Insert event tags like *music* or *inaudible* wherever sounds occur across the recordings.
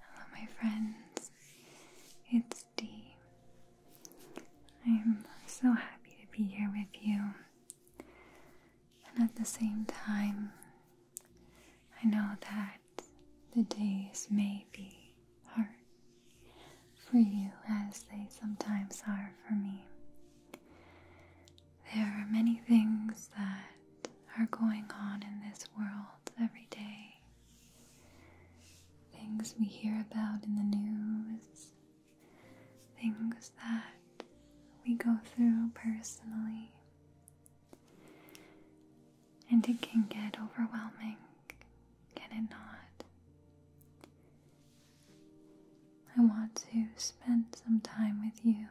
Hello, my friends. It's Dee. I'm so happy to be here with you. And at the same time, I know that the days may be heart for you as they sometimes are for me. There are many things that are going on in this world every day. Things we hear about in the news, things that we go through personally. And it can get overwhelming can it not? I want to spend some time with you,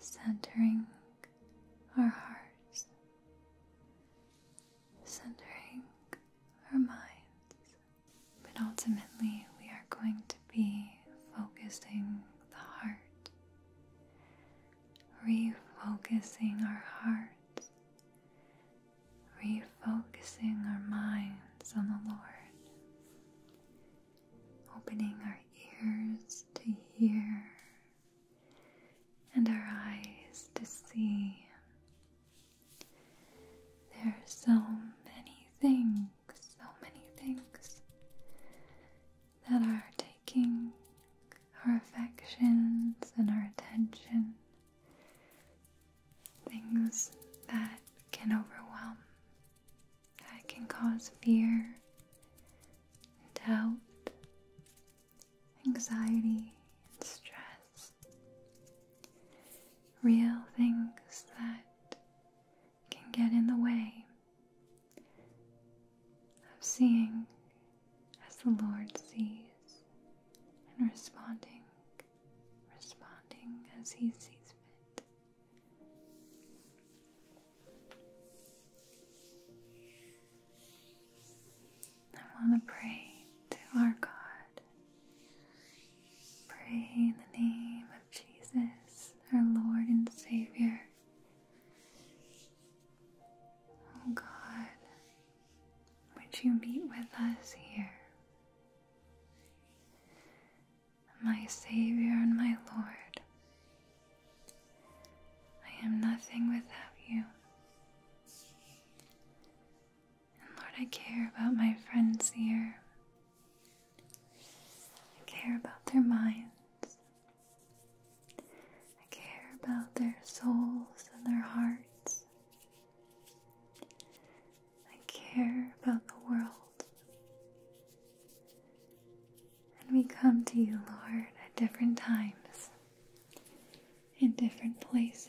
centering our hearts, centering our minds, but ultimately we are going to be focusing the heart, refocusing our hearts refocusing our minds on the Lord, opening our ears to hear and our eyes to see. There are so many things, so many things that are taking our affections and our attention Things that can overwhelm, that can cause fear, doubt, anxiety, and stress. Real things that can get in the way of seeing as the Lord sees, and responding, responding as He sees fit. I want to pray to our God. Pray in the name of Jesus, our Lord and Savior. Oh God, would you meet with us here? My Savior and my Lord, I am nothing without you. And Lord, I care about my friends here. I care about their minds. I care about their souls and their hearts. I care about the world. And we come to you, Lord, at different times, in different places.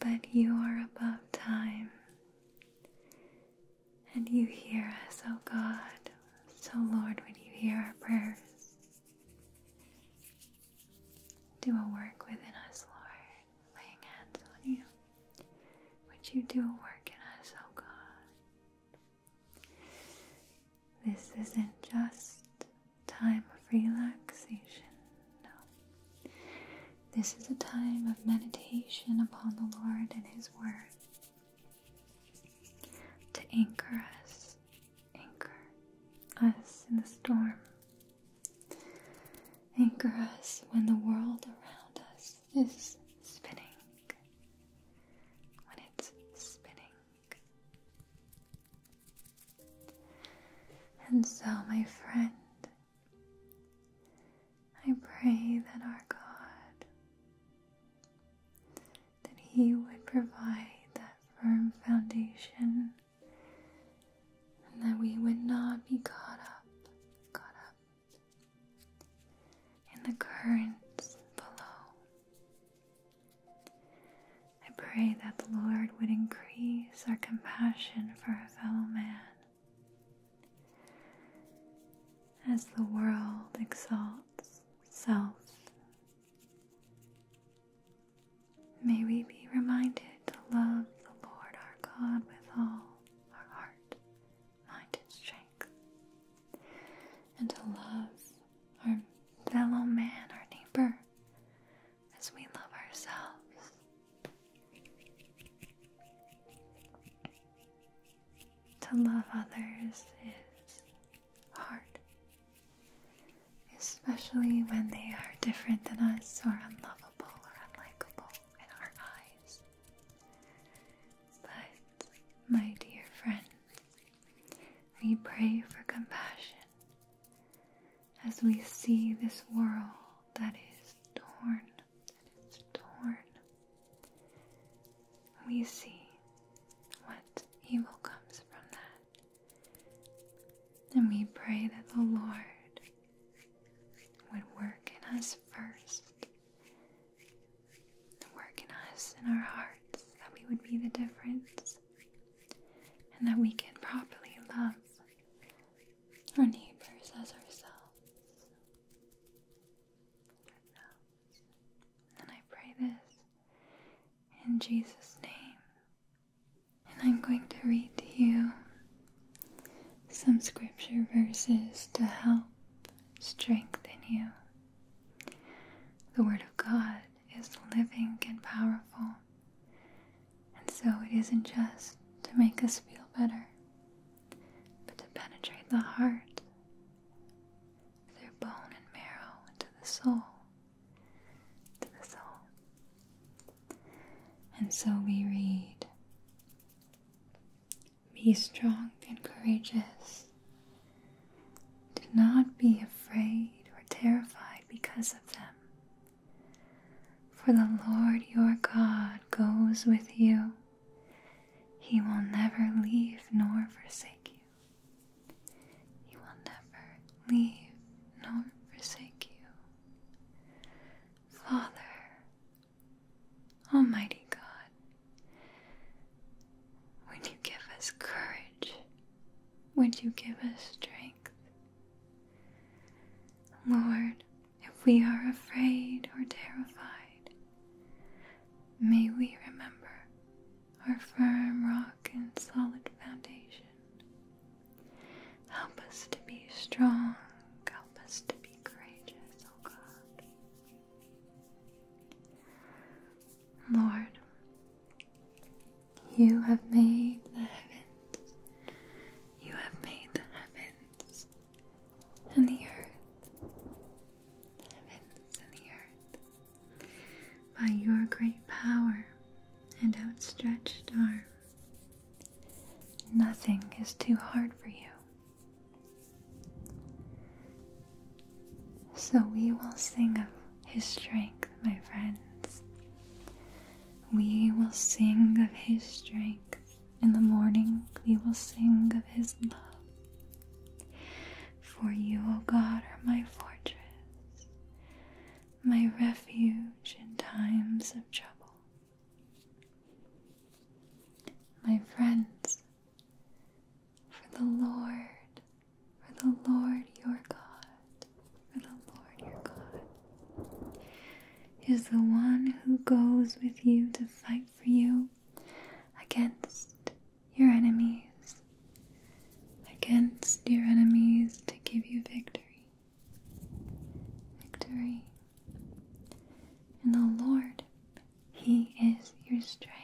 But you are above time. And you hear us, O God. So, Lord, would you hear our prayers? Do a work within us, Lord, laying hands on you. Would you do a work in us, oh God? This isn't just time of relaxation, no. This is a time of meditation upon the Lord and His Word to anchor us Anchor us in the storm. Anchor us when the world around us is spinning. When it's spinning. And so, my friend, I pray that our God that He would provide that firm foundation and that we would not be caught up, caught up in the currents below. I pray that the Lord would increase our compassion for our fellow man. As the world exalts self May we be reminded to love the Lord our God with all our heart, mind, and strength, and to love our fellow man, our neighbor, as we love ourselves. To love others is hard, especially when they are different than us or unlovable or unlikable in our eyes. But, my dear friends, we pray for compassion as we see this world that is torn, that is torn. We see what evil comes from that. And we pray that the Lord would work in us first, work in us, in our hearts, that we would be the difference, and that we can properly love our neighbors as ourselves. And I pray this in Jesus' name. And I'm going to read to you some scripture verses to help strengthen you. The Word of God is living and powerful, and so it isn't just to make us feel better, but to penetrate the heart, through bone and marrow, into the soul, and so we read Be strong and courageous. Do not be afraid or terrified because of them. For the Lord your God goes with you. He will never leave nor forsake you. He will never leave nor forsake you. Father, Almighty God, would you give us courage? Would you give us strength? Lord, if we are afraid or terrified, may we remember our firm rock and solid foundation. Help us to be strong. Help us to be courageous, O God. Lord, you have made the heavens. You have made the heavens and the earth. The heavens and the earth by your great power and outstretched arm. Nothing is too hard for you. So we will sing of his strength, my friends. We will sing of his strength. In the morning, we will sing of his love. For you, O God, are my fortress, my refuge in times of trouble. My friends, for the Lord, for the Lord your God, for the Lord your God is the one who goes with you to fight for you against your enemies, against your enemies to give you victory. Victory. And the Lord, He is your strength.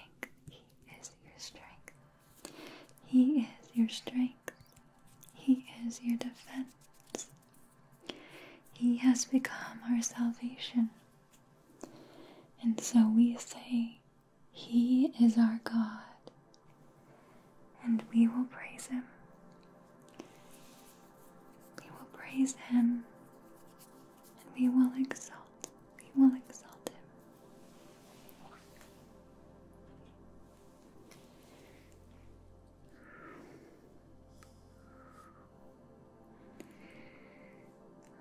He is your strength. He is your strength. He is your defense. He has become our salvation. And so we say, he is our God, and we will praise Him. We will praise Him, and we will exalt, we will exalt Him.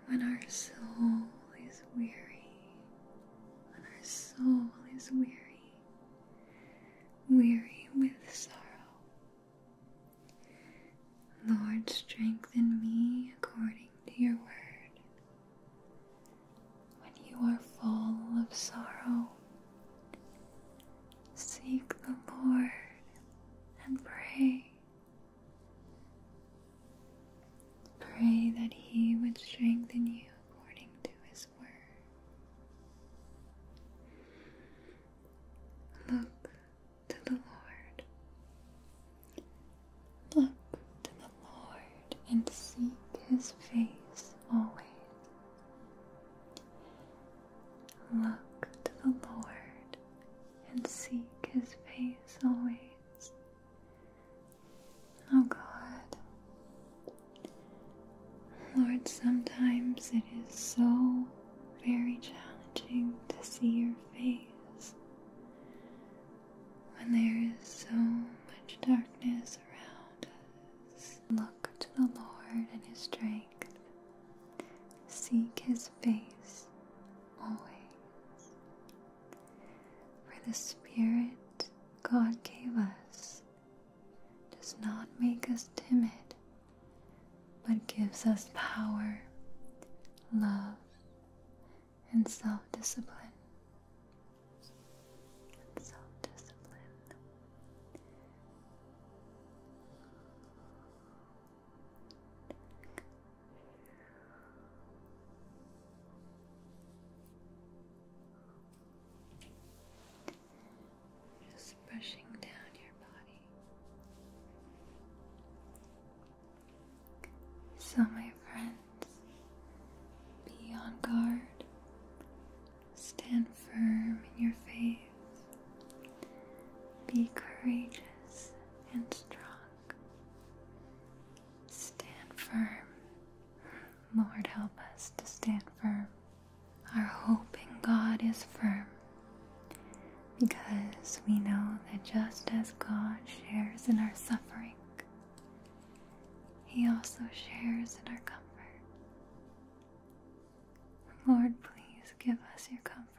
When our soul is weary, when our soul is weary, weary with sorrow. Lord, strengthen me according to your word. When you are full of sorrow, seek the Lord and pray. Pray that He would strengthen you according to His word. Look to the Lord. Look to the Lord and seek His face always. Look to the Lord and seek His face always. Oh God. Lord, sometimes it is so very challenging to see your face when there is so much darkness around us. Look to the Lord and His strength. Seek His face always. For the Spirit God gave us does not make us timid, but gives us power, love, and self discipline. Just brushing down your body. So, my friends, be on guard, stand firm in your faith, be courageous and strong. Stand firm. Lord, help us to stand firm. Our hope in God is firm because we know that just as God shares in our suffering, He also shares in our comfort. Lord, please give us your comfort.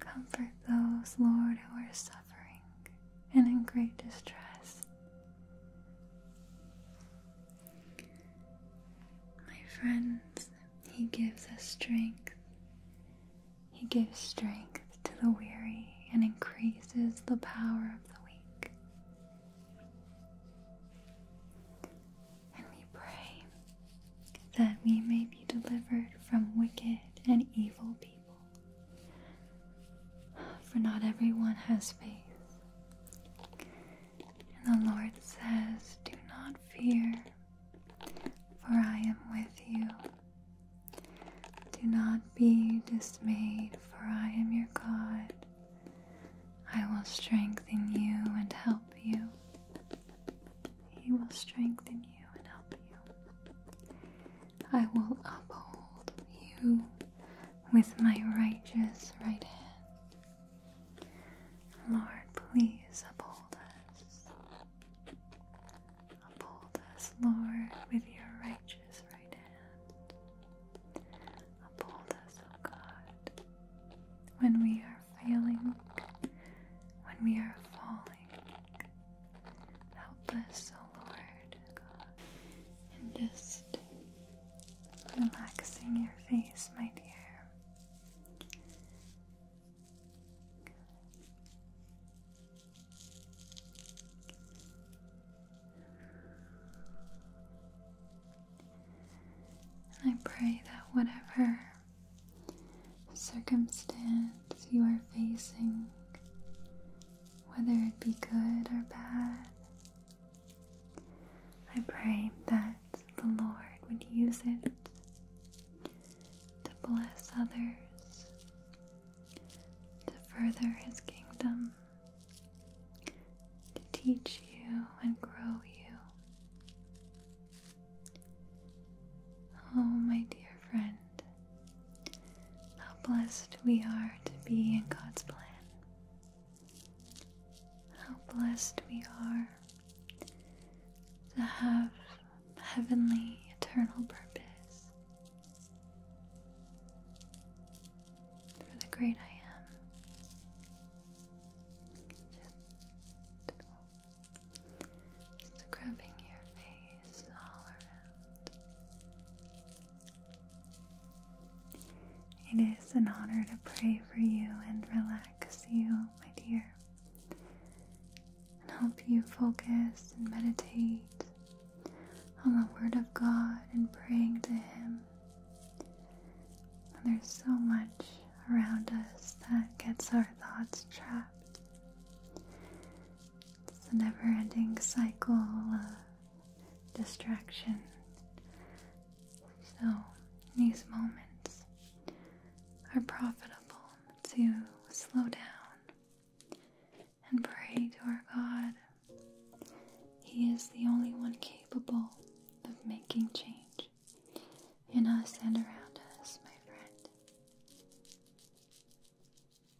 Comfort those, Lord, who are suffering and in great distress. My friends, He gives us strength. He gives strength to the weary and increases the power of the weak. And we pray that we may be delivered from wicked and evil people for not everyone has faith. And the Lord says, Do not fear, for I am with you. Do not be dismayed, for I am your God. I will strengthen you and help you. He will strengthen you and help you. I will uphold you with my righteous right hand. Lord, please uphold us. Uphold us, Lord, with your righteous right hand. Uphold us, O God, when we are failing, when we are falling. Help us, O oh Lord and just relaxing your face, my dear. I pray that whatever circumstance you are facing, whether it be good or bad. I pray that the Lord would use it to bless others, to further His kingdom, to teach you and grow you. Oh, my dear friend, how blessed we are to be in God's plan. How blessed we are to have heavenly, eternal purpose for the great I am. Just, your face all around. It is an honor to pray for you and relax you, my dear, and help you focus and meditate on the Word of God and praying to Him. And there's so much around us that gets our thoughts trapped. It's a never ending cycle of distraction. So, these moments are profitable to slow down and pray to our God. He is the only one capable of making change in us and around us, my friend.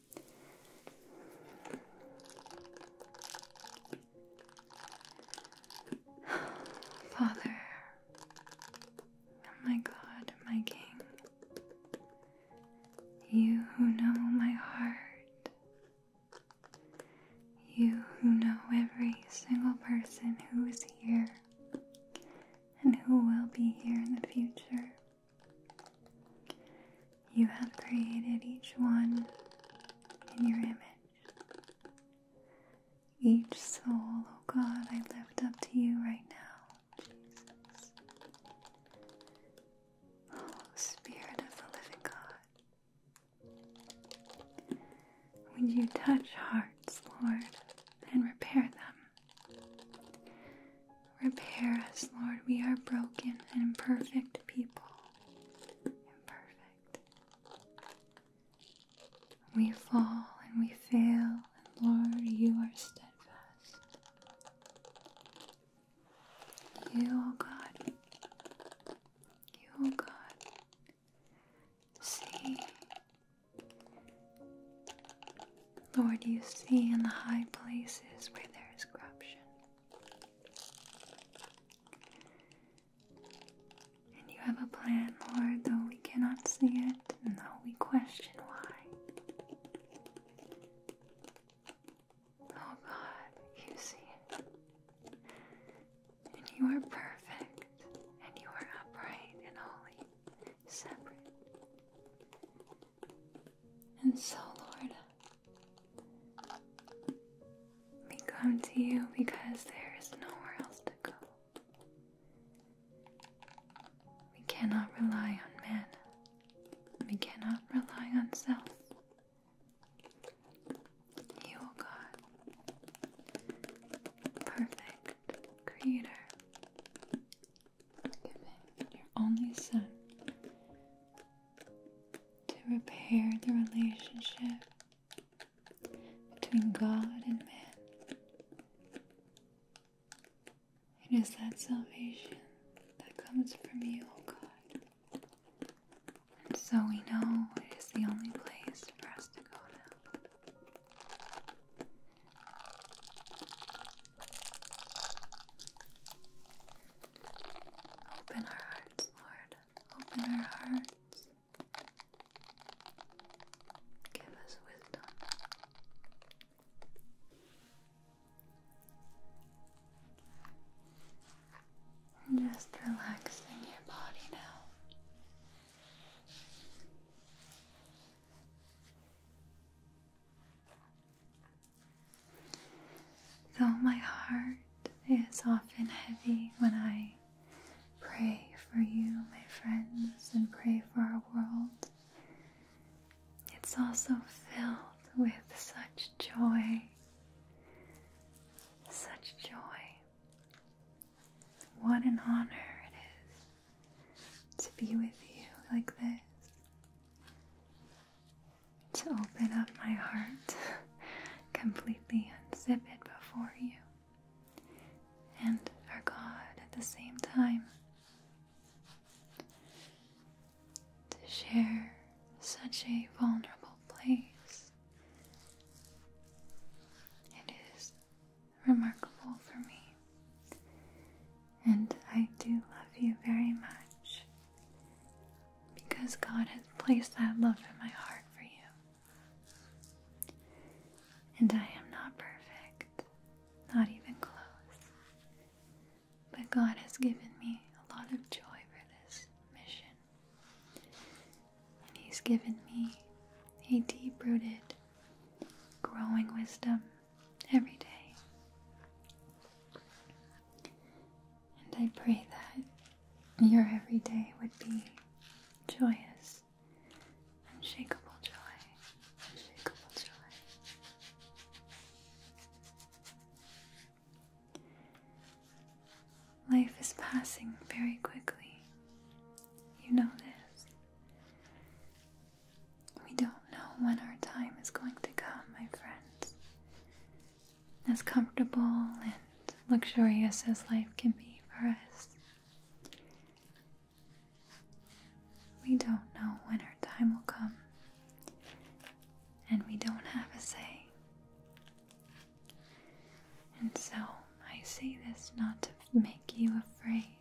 *sighs* Father, oh my God, my King, you who know my heart, you who know every single person who is here and who will be here in the future. You have created each one in your image. Each soul, oh God, I lift up to you right now, Jesus. Oh, Spirit of the living God, would you touch hearts, Lord, and repair them? Repair us, Lord. We are broken and imperfect people. Imperfect. We fall and we fail, and Lord, you are steadfast. You, O oh God, you, O oh God, see. Lord, you see in the high places where there is corruption. And you have a plan, Lord, though we cannot see it, and though we question why. Oh God, you see And you are perfect, and you are upright and holy, separate. And so, Lord, we come to you because there is nowhere else to go. We cannot rely on men, we cannot rely on self. You, oh God, perfect creator, giving your only Son to repair the relationship between God and man. It is that salvation that comes from you, O oh God. And so we know it is the only place for us to go now. Open our hearts, Lord. Open our hearts. Give us wisdom. just relaxing your body now. Though my heart is often heavy when I pray for you, my friends, and pray for our world, it's also filled with such joy. Such joy. What an honor it is to be with you like this to open up my heart *laughs* completely, unzip it before you and our God at the same time to share such a vulnerable place. It is remarkable for me, and I do love you very much because God has placed that love in my heart for you. And I am not perfect, not even close. But God has given me a lot of joy for this mission. And He's given me a deep rooted, growing wisdom every day. And I pray that your every day would be joyous, unshakable joy, unshakable joy. Life is passing very quickly. You know this. We don't know when our time is going to come, my friends as comfortable and luxurious as life can be for us. We don't know when our time will come, and we don't have a say. And so I say this not to make you afraid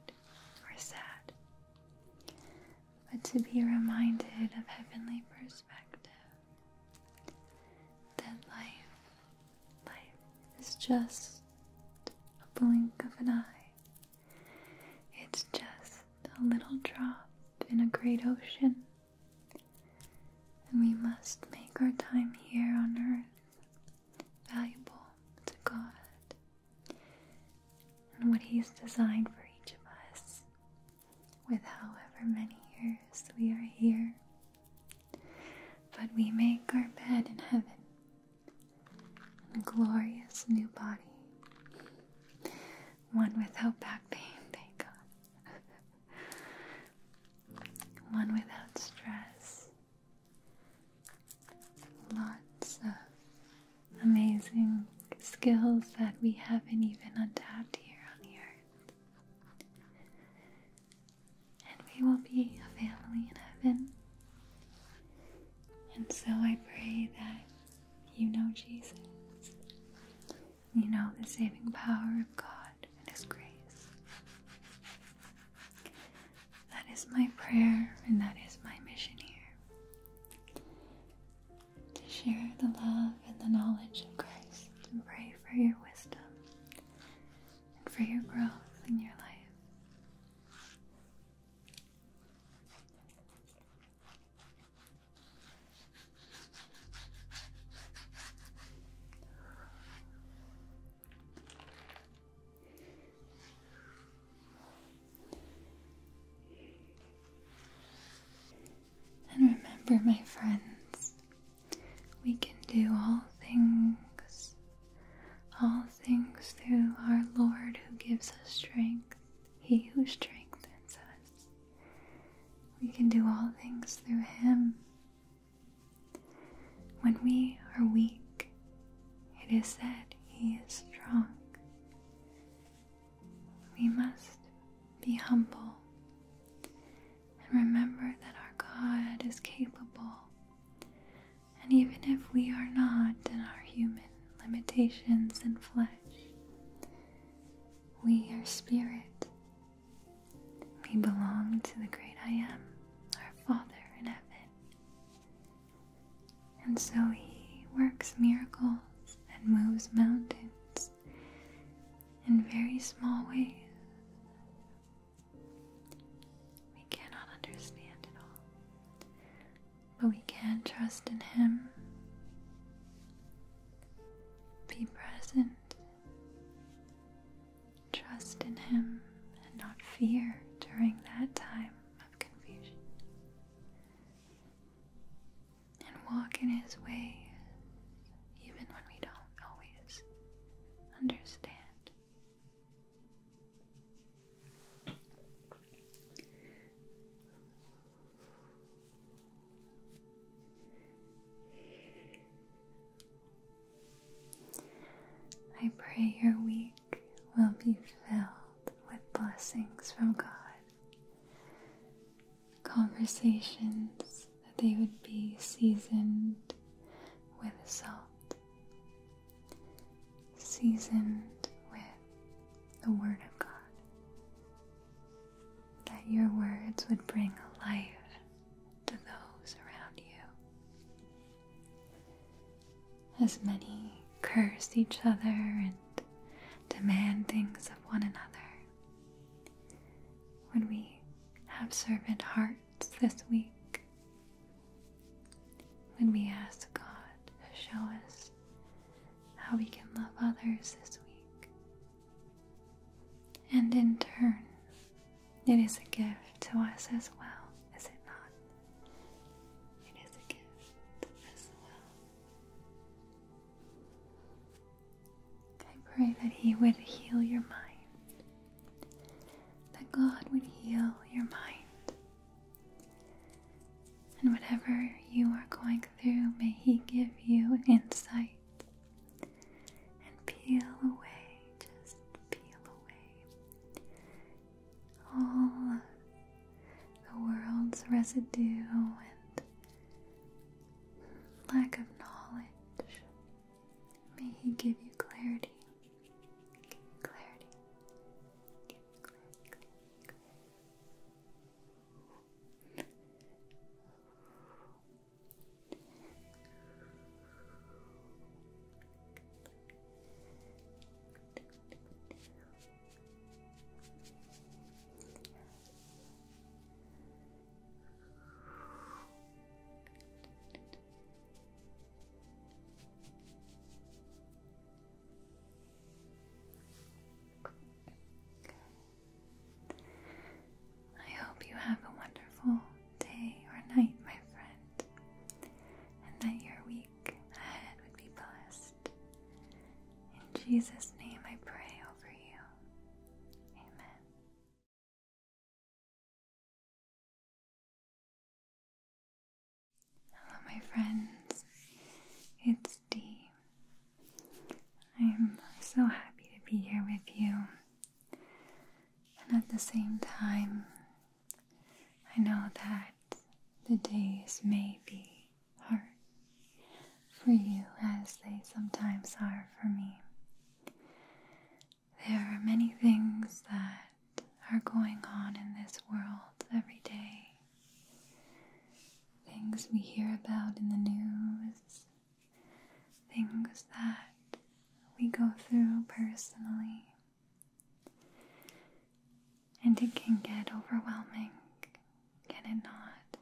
or sad, but to be reminded of heavenly perspective. That life, life is just a blink of an eye. It's just a little drop in a great ocean. And we must make our time here on earth valuable to God and what He's designed for each of us with however many years we are here. But we make our bed in heaven, in a glorious new body, one without back pain, thank God, one without stress, lots of amazing skills that we haven't even adapted here on the earth. And we will be a family in heaven. And so I pray that you know Jesus. You know the saving power of God and His grace. That is my prayer and that is my mission here to share the love and the knowledge of Christ and pray for your wisdom and for your growth in your life. And remember, my friends, we can do all things, all things through our Lord who gives us strength, He who strengthens us. We can do all things through Him. When we are weak, it is said He is strong we must be humble and remember that our God is capable. And even if we are not in our human limitations and flesh, we are spirit. We belong to the great I am, our Father in heaven. And so He works miracles and moves mountains in very small ways. We cannot understand it all, but we can trust in Him. Be present, trust in Him, and not fear during that time of confusion and walk in His way, even when we don't always understand. I pray your week will be filled with blessings from God conversations that they would be seasoned with salt, seasoned with the Word of God. That your words would bring life to those around you. As many cursed each other and demand things of one another. When we have servant hearts this week? when we ask God to show us how we can love others this week? And in turn, it is a gift to us as well, is it not? It is a gift as well. I pray that He would heal your mind, that God would heal your mind, and whatever you are going through, may He give you insight and peel away, just peel away all the world's residue and lack of knowledge. May give you clarity. clarity. I hope you have a wonderful day or night, my friend, and that your week ahead would be blessed in Jesus' name I pray over you. Amen. Hello, my friends. It's Dee. I'm so happy to be here with you. And at the same time, I know that the days may be are for you as they sometimes are for me. There are many things that are going on in this world every day. Things we hear about in the news, things that we go through personally. And it can get overwhelming, can it not?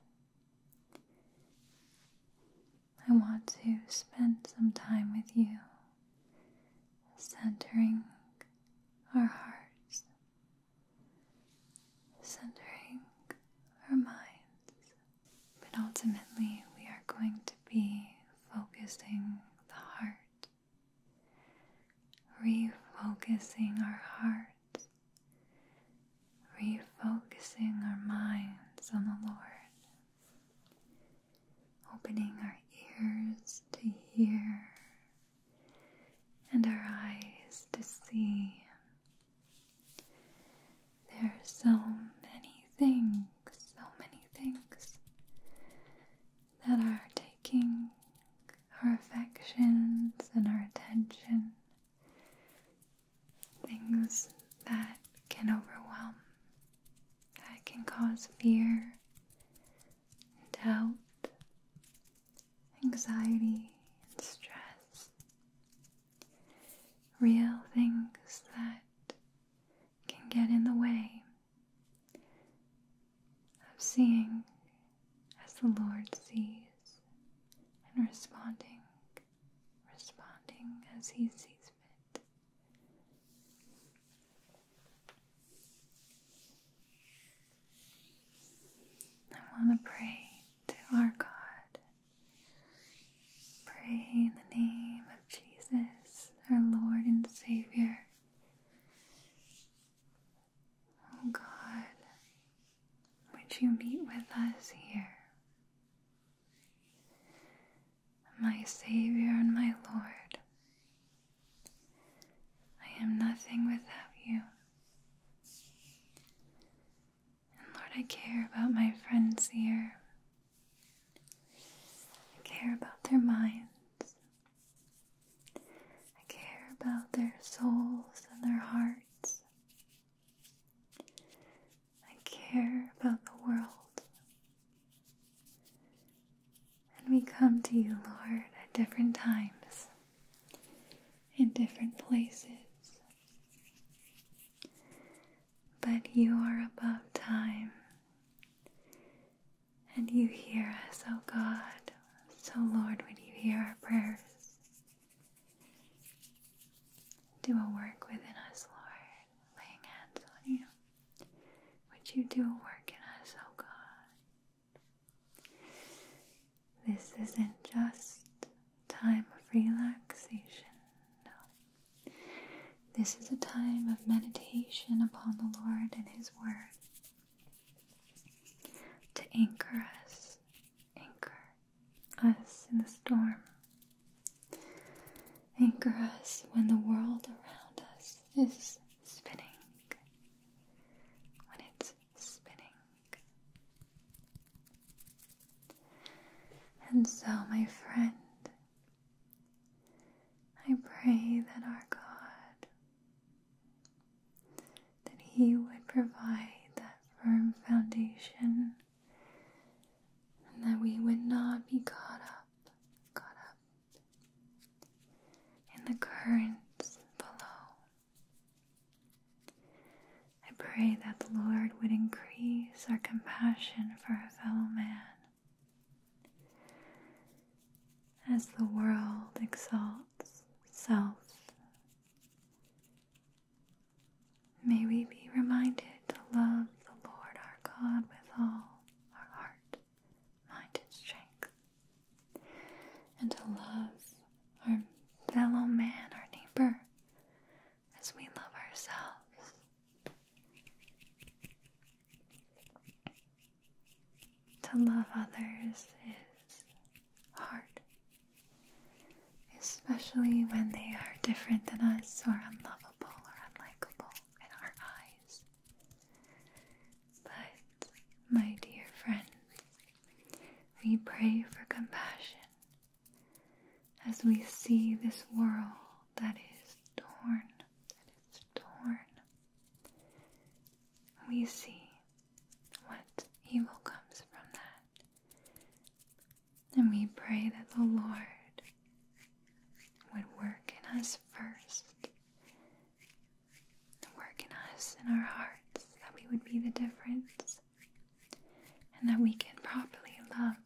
I want to spend some time with you, centering our hearts, centering our minds. But ultimately, we are going to be focusing the heart, refocusing our hearts refocusing our minds on the Lord, opening our ears to hear and our eyes to see. There are so many things, so many things that are taking our affections and our attention things that can overwhelm, that can cause fear, doubt, anxiety, and stress. Real things that can get in the way of seeing as the Lord sees, and responding, responding as He sees fit. I want to pray to our God. Pray in the name of Jesus, our Lord and Savior. Oh God, would you meet with us here? My Savior and my Lord, I am nothing without you. And Lord, I care about my friends here. I care about their minds. I care about their souls and their hearts. I care about the world. And we come to you, Lord, at different times, in different places. But you are above time. And you hear us, O God. So, Lord, would you hear our prayers? Do a work within us, Lord, laying hands on you. Would you do a work in us, oh God? This isn't just time of relaxation, no. This is a time of meditation upon the Lord and His Word to anchor us, anchor us in the storm, anchor us when the world around us is spinning, when it's spinning. And so, my friend, I pray that our God that He would provide that firm foundation and that we would not be caught up, caught up in the currents below. I pray that the Lord would increase our compassion for our fellow man. As the world exalts self May we be reminded to love the Lord our God with all our heart, mind, and strength, and to love our fellow man, our neighbor, as we love ourselves. To love others is hard, especially when they are different than us or unlovable or unlikable in our eyes. But, my dear friends, we pray for compassion as we see this world that is torn, that is torn. We see what evil comes from that. And we pray that the Lord would work in us first, work in us, in our hearts, that we would be the difference, and that we can properly love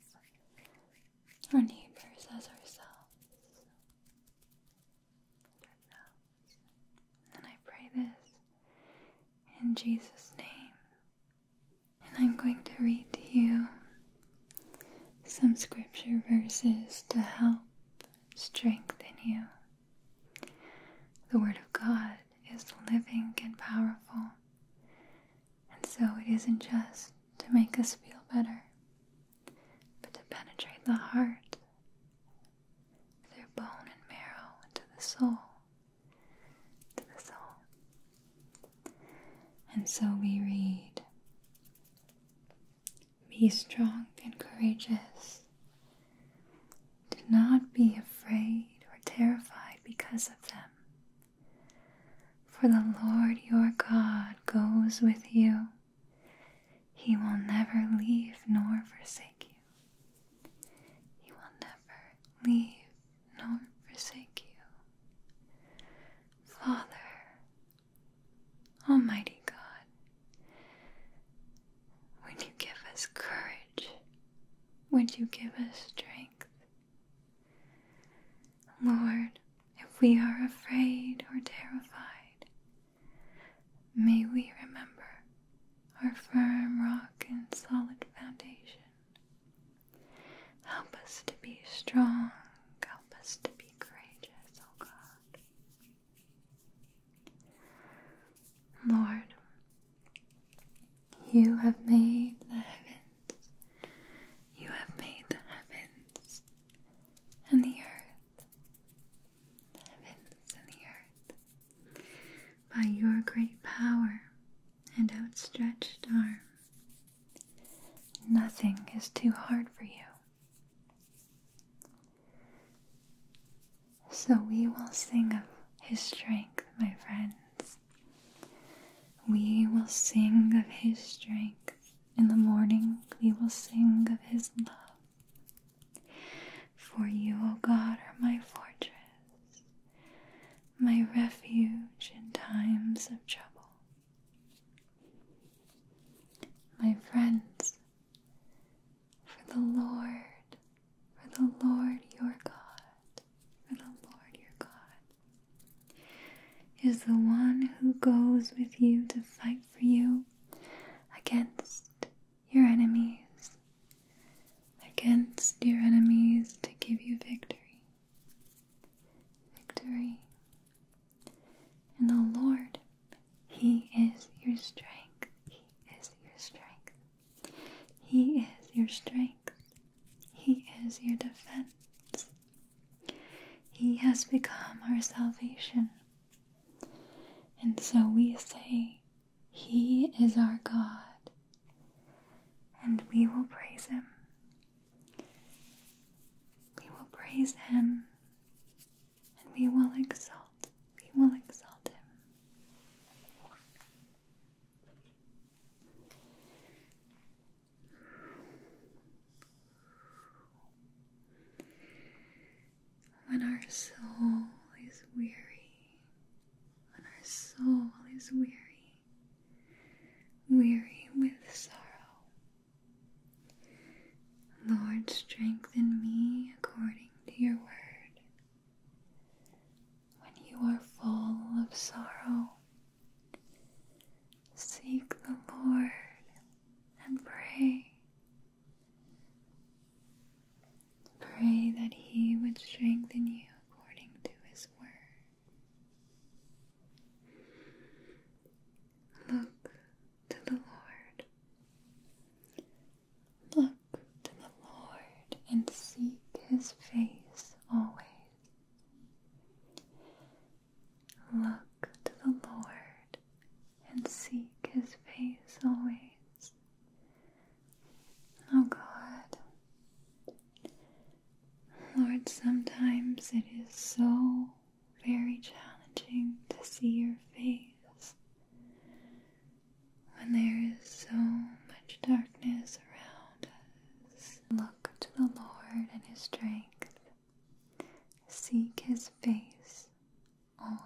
our neighbors as ourselves. And I pray this in Jesus' name. And I'm going to read to you some scripture verses to help strengthen you. The Word of God is living and powerful, and so it isn't just to make us feel better, but to penetrate the heart their bone and marrow into the soul, to the soul. And so we read, Be strong and courageous. Do not be afraid or terrified because of them. For the Lord your God goes with you. He will never leave nor forsake you. He will never leave nor forsake you. Father, Almighty God, would you give us courage? Would you give us strength? Lord, if we are afraid or terrified, may we remember our firm rock and solid foundation. Help us to be strong. Help us to be courageous, oh God. Lord, you have made the heavens. You have made the heavens and the earth. The heavens and the earth by your great power and outstretched arm. Nothing is too hard for you. So we will sing of his strength, my friends. We will sing of his strength. In the morning, we will sing of his love. For you, O God, are my fortress, my refuge in times of trouble. My friends, for the Lord, for the Lord your God, for the Lord your God, is the one who goes with you to fight for you against your enemies, against your enemies to give you victory. Victory. And the Lord, He is your strength. He is your strength. He is your strength. He is your defense. He has become our salvation. And so we say, he is our God, and we will praise Him. We will praise Him, and we will exalt, we will exalt Him when our soul is weary, when our soul is weary, weary with sorrow. Lord, strengthen me according to your word. When you are full of sorrow, seek the Lord and pray Pray that He would strengthen you according to His word. Look to the Lord. Look to the Lord and seek His face always. Look to the Lord and seek His face always, Oh God. Lord, sometimes it is so very challenging to see your face when there is so much darkness around us. Look to the Lord and His strength, seek His face always.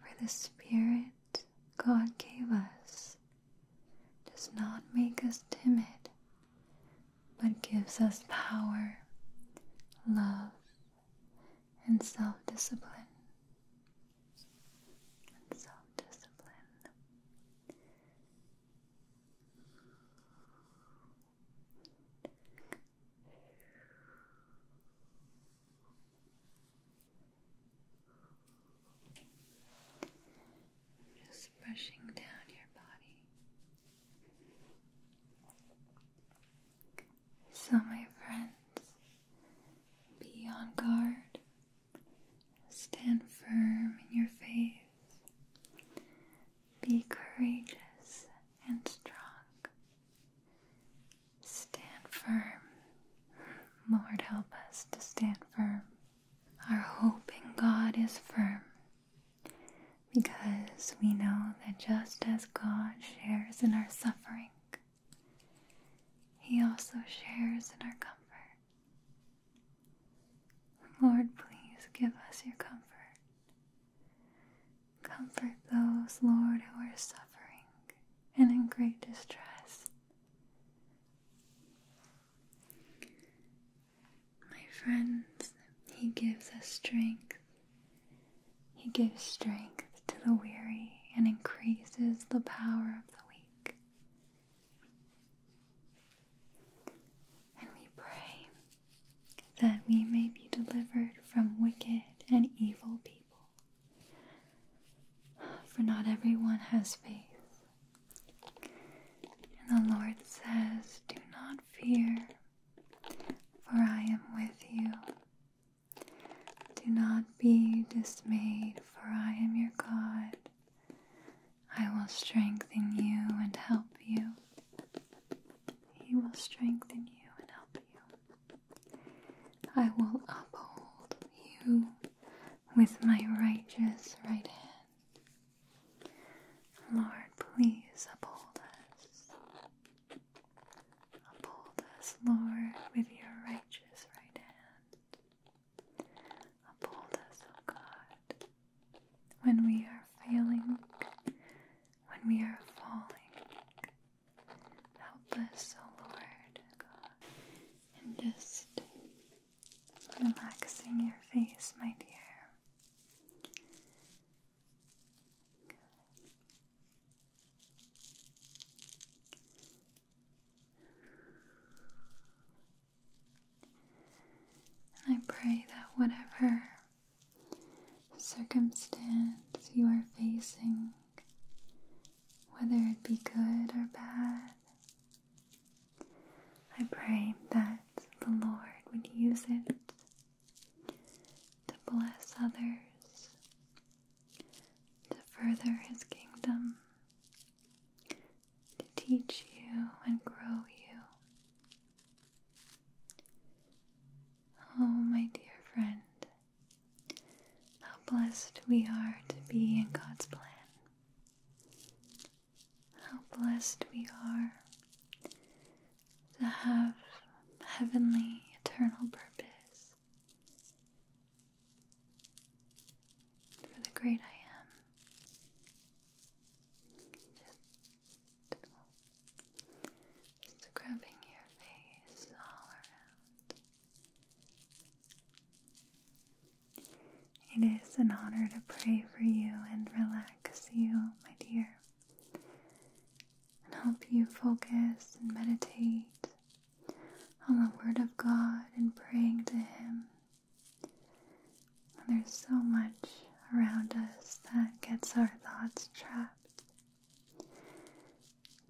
For the Spirit God gave us does not make us timid, but gives us power, love, and self discipline. And self discipline. Just brushing down your body. So, my friends, be on guard, stand firm in your faith, be courageous and strong. Stand firm. Lord, help us to stand firm. Our hope in God is firm because we know that just as God shares in our suffering, He also shares in our comfort. Lord, please give us your comfort. Comfort those, Lord, who are suffering and in great distress. My friends, He gives us strength. He gives strength to the weary and increases the power of the weak. And we pray that we may be delivered from wicked and evil people. For not everyone has faith. And the Lord says, Do not fear, for I am with you. Do not be dismayed, for I am your God. I will strengthen you and help you. He will strengthen you and help you. I will uphold you with my righteous right hand. Lord, please uphold us. Uphold us, Lord, with your righteous right hand. Uphold us, O God, when we are failing, when we are falling, Help us, O Lord God, and just relaxing your face, my dear. I pray that whatever circumstance you are facing, whether it be good or bad. I pray that the Lord would use it to bless others, to further His kingdom, to teach you and grow you. Oh, my dear friend, how blessed we are to be in God's plan. How blessed we are to have heavenly, eternal purpose. For the great I am. Scrubbing your face all around. It is an honor to pray for you and relax you, my dear, and help you focus and meditate on the Word of God and praying to Him. there's so much around us that gets our thoughts trapped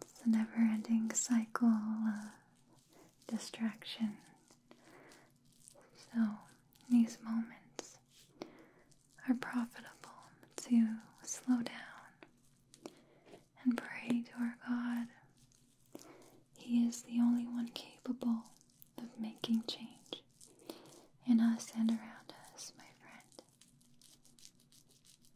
it's a never ending cycle of distraction. So, these moments are profitable to slow down and pray to our God. He is the only one capable of making change in us and around us, my friend.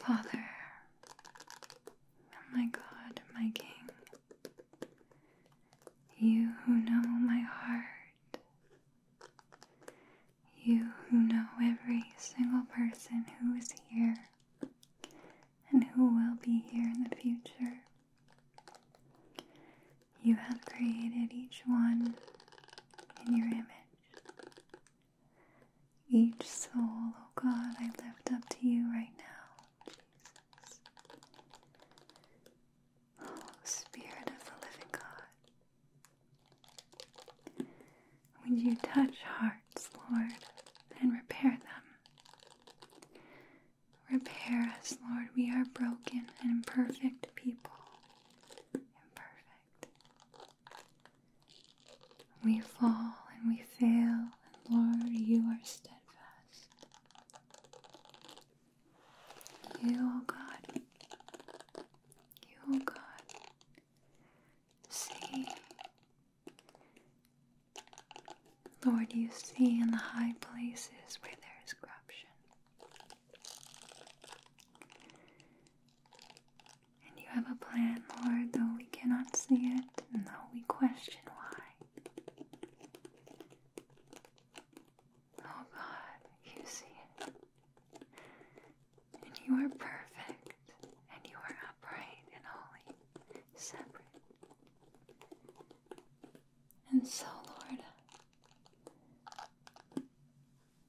Father, oh my God, my King, you who know my heart, you who know every single person who is here and who will be here in the future. You have created each one in your image. Each soul, oh God, I lift up to you right now, Jesus. Oh, Spirit of the living God, would you touch hearts, Lord, and repair them? Repair us, Lord. We are broken and imperfect people. Imperfect. We fall and we fail, and Lord, you are steadfast. You, O oh God, you, O oh God, see. Lord, you see in the high places where there is corruption. And you have a plan, Lord, though we cannot see it, and though we question why. Oh God, you see it. And you are perfect, and you are upright and holy, separate. And so, Lord,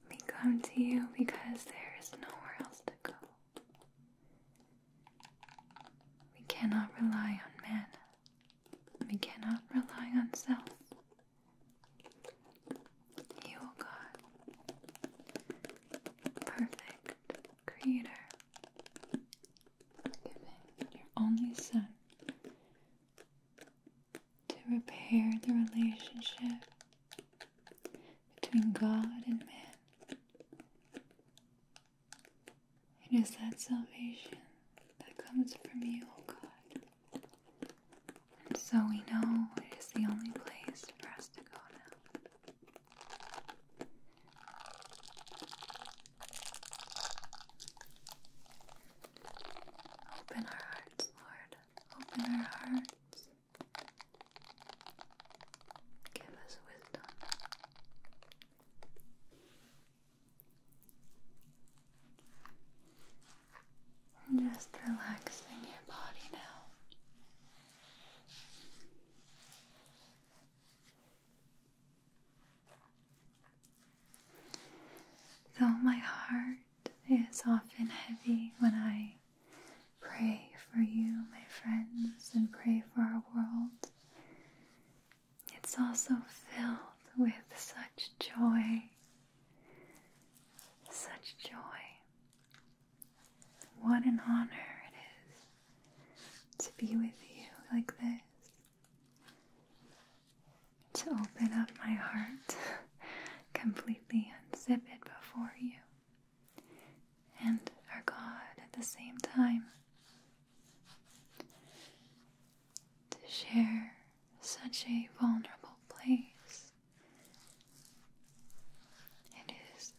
we come to you because there is nowhere else to go. We cannot rely on man, we cannot rely on self. You, O God, perfect creator, giving your only Son to repair the relationship between God and man. It is that salvation that comes from you, O oh God. And so we know it is the only place for us to go now. Open our hearts, Lord. Open our hearts. Give us wisdom. just relaxing your body now. Though my heart is often heavy when I pray for you, my friends, and pray for our world, it's also filled with such joy. Such joy. What an honor it is to be with you like this to open up my heart *laughs* completely, unzip it before you and our God at the same time to share such a vulnerable place. It is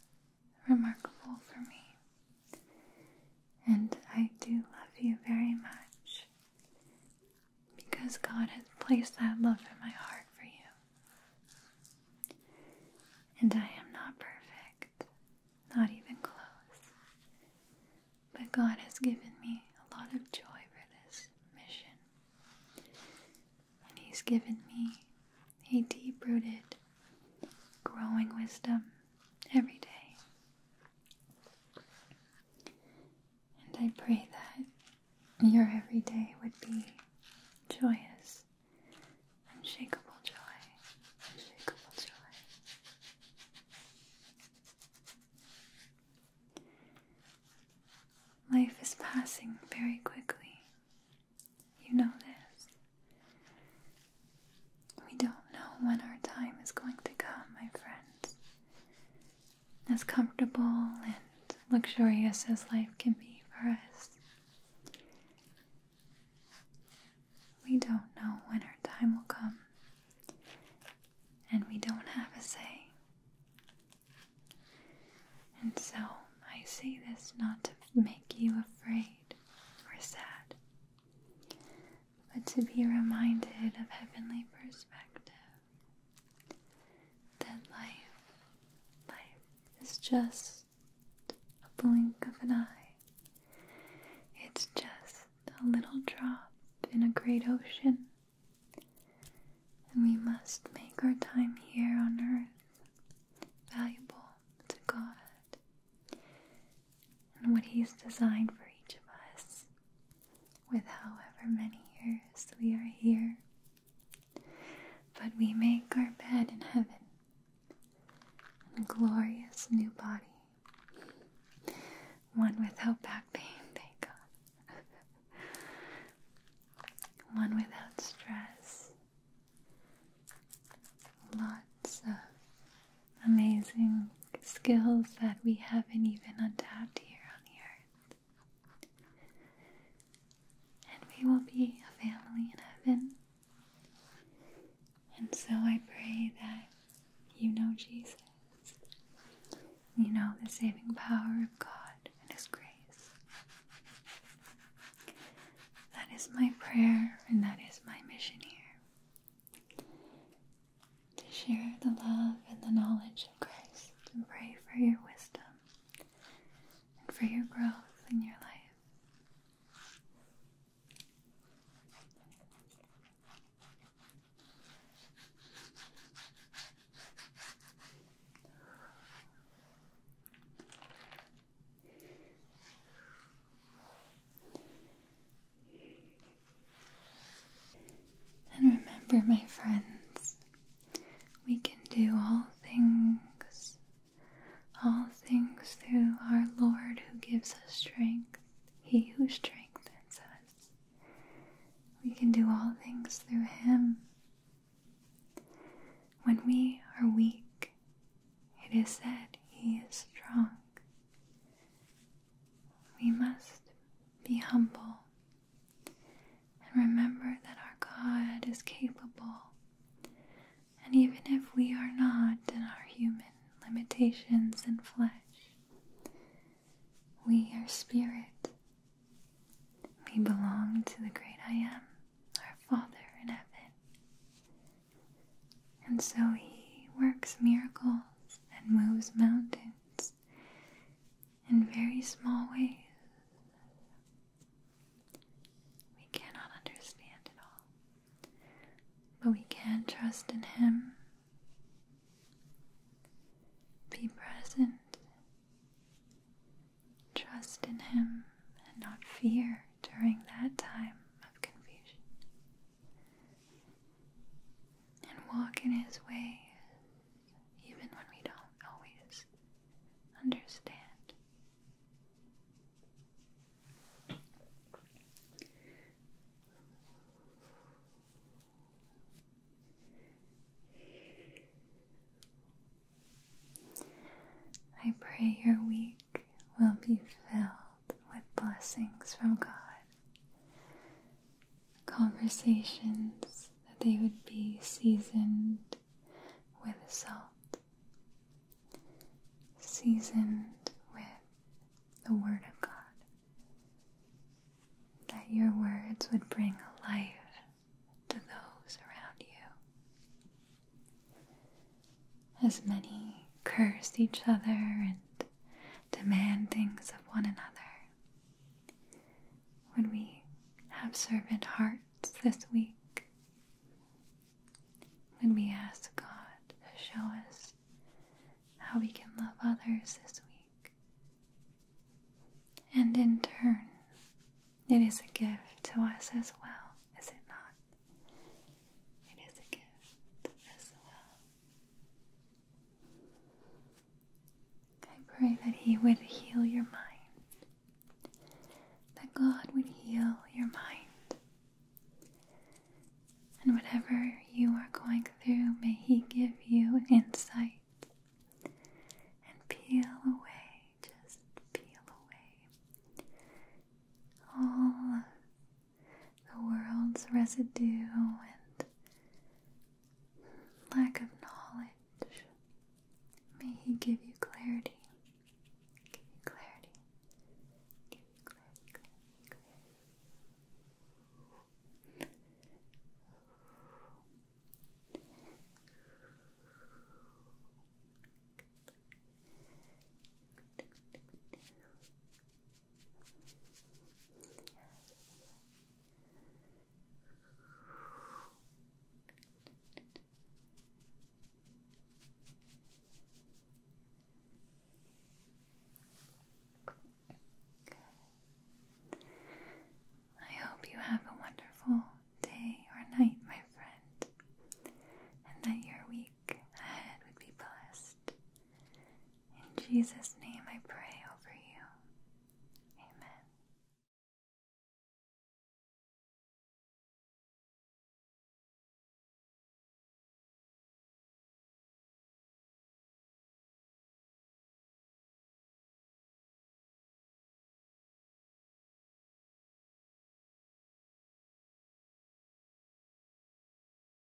remarkable for me, and I do love you very much because God has placed that love in my heart for you. And I am not perfect, not even close, but God has given me a lot of joy for this mission. And He's given me a deep rooted, growing wisdom every day and I pray that your every day would be joyous, unshakable joy, unshakable joy. Life is passing very quickly. You know this. We don't know when our time is going to come, my friend as comfortable and luxurious as life can be for us. We don't know when our time will come, and we don't have a say. And so I say this not to make you afraid or sad, but to be reminded of heavenly perspective. That life, life is just a blink of an eye. It's just a little drop in a great ocean. And we must make our time here on earth valuable to God and what He's designed for each of us with however many years we are here. But we make our bed in heaven, a glorious new body, one without back pain, thank God, one without stress, lots of amazing skills that we haven't even adapted here on the earth. And we will be a family in heaven. And so I pray that you know Jesus, you know the saving power of God and His grace. That is my prayer, and that is my mission here to share the love and the knowledge of Christ and pray for your wisdom and for your growth in your life. And remember, my friends, we can do all things, all things through our Lord who gives us strength, He who strengthens us. We can do all things through Him. When we are weak, it is said He is strong we must be humble and remember that our God is capable. And even if we are not in our human limitations and flesh, we are spirit. We belong to the great I Am, our Father in heaven. And so He works miracles and moves mountains in very small ways. We cannot understand it all, but we can trust in Him. Be present. Trust in Him and not fear during that time of confusion and walking His ways, even when we don't always understand. I pray your week will be filled with blessings from God. Conversations that they would be seasoned with salt, seasoned with the Word of God. That your words would bring life to those around you. As many cursed each other and demand things of one another. When we have servant hearts this week? when we ask God to show us how we can love others this week? And in turn, it is a gift to us as well, is it not? It is a gift as well. I pray that He would heal your mind, that God would heal your mind, and whatever you are going through, may He give you insight and peel away, just peel away all the world's residue and lack of knowledge. May He give you clarity. Give you clarity. Give you clarity, I hope you have a wonderful day or night, my friend, and that your week ahead would be blessed in Jesus' name I pray over you. Amen.